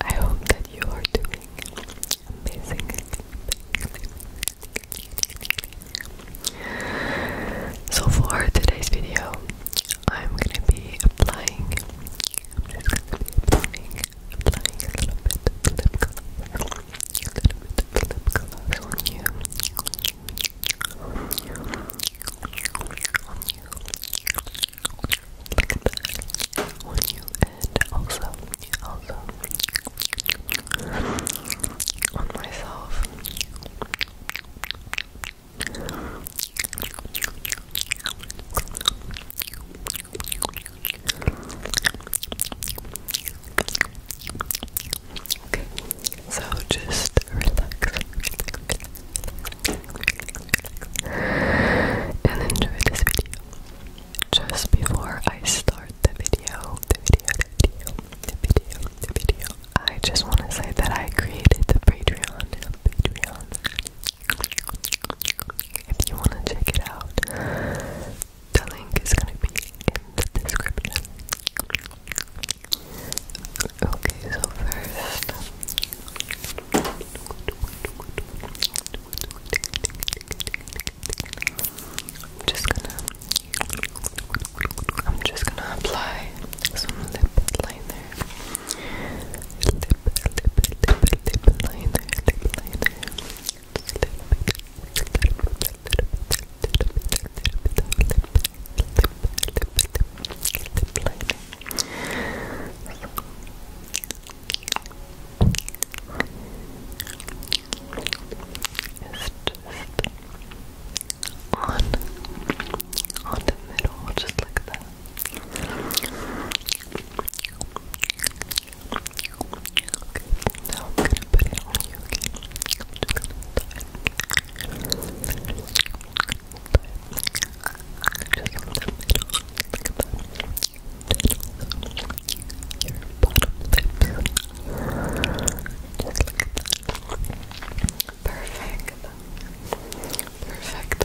I hope that you are doing amazing. So for today's video, I'm gonna be applying. gonna be applying applying a little bit of lip color, a little bit of lip color on you, on you, on you, like that, on you, and also, also, on myself. Close your eyes, so just relax, and enjoy this video. Just before I start the video, the video, the video, the video, the video, I just want to say that I created the Patreon, if you want to check it out, the link is going to be in the description. Okay, so first, I'm just gonna, I'm just gonna apply some lip liner, lip, lip, lip, lip liner, lip liner on, on the middle, just like that now I'm gonna put it on you again. I'm just gonna tie it. Just in the middle. Like that. Your bottom lips. Just like that. Perfect. Perfect.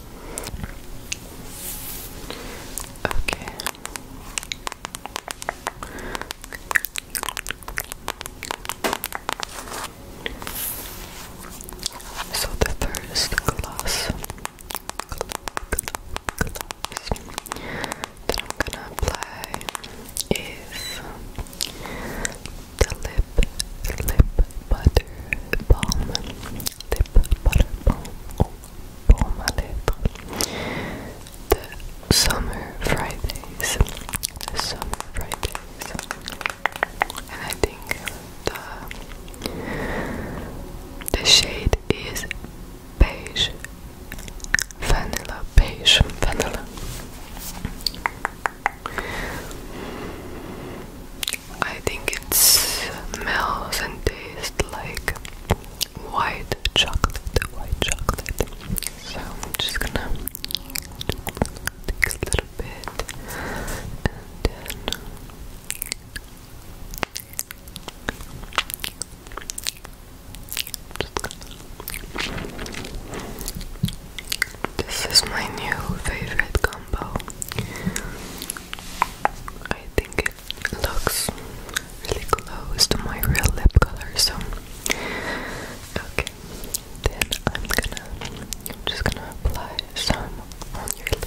Okay. So the first gloss, that I'm gonna apply is the lip lip butter balm lèvres, pas le bon ou The Summer Fridays. Summer Fridays. And I think the, the shade is beige. Vanilla beige. Vanilla. I think it smells and tastes like white chocolate, white chocolate. So I'm just gonna take a little bit and this is my new favorite combo. I think it looks really close to my real lip color, so okay. Then I'm gonna, just gonna apply some on your lips.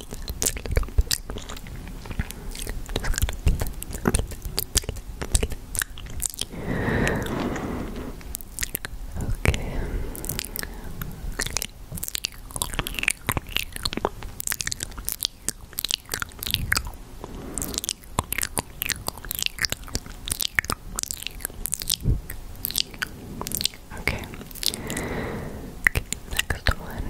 Okay. Okay. Okay, next one.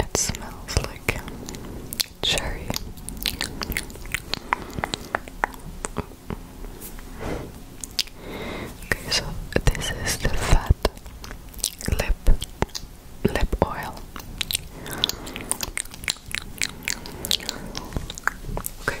It smells like cherry. Okay, so this is the fat lip lip oil. Okay.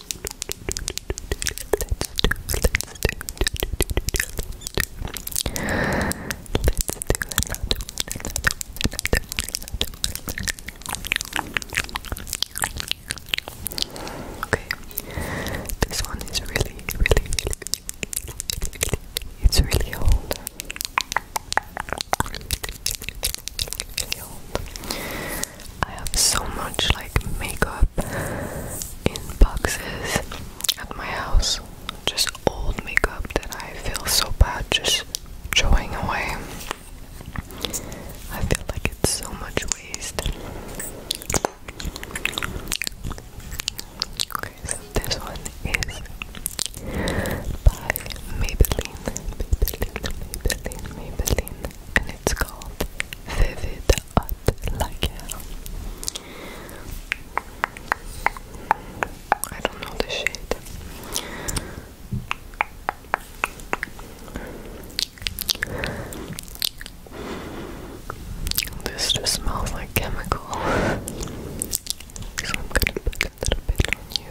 Okay, this one is really, really, really, it's really old. I have so much like makeup in boxes at my house. Just old makeup that I feel so bad just throwing away. I feel like it's so much waste. Okay, so this one is by Maybelline. Maybelline, Maybelline, Maybelline and it's called Vivid Hot Lager. I don't know the shade. This just smells like chemical. so I'm gonna put a little bit on you.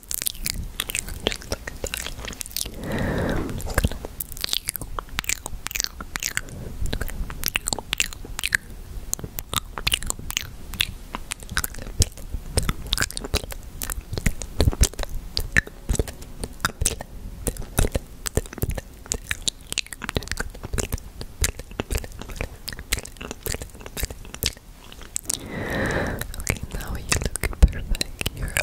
Just look at that. I'm just gonna... Okay, now you look perfect. Your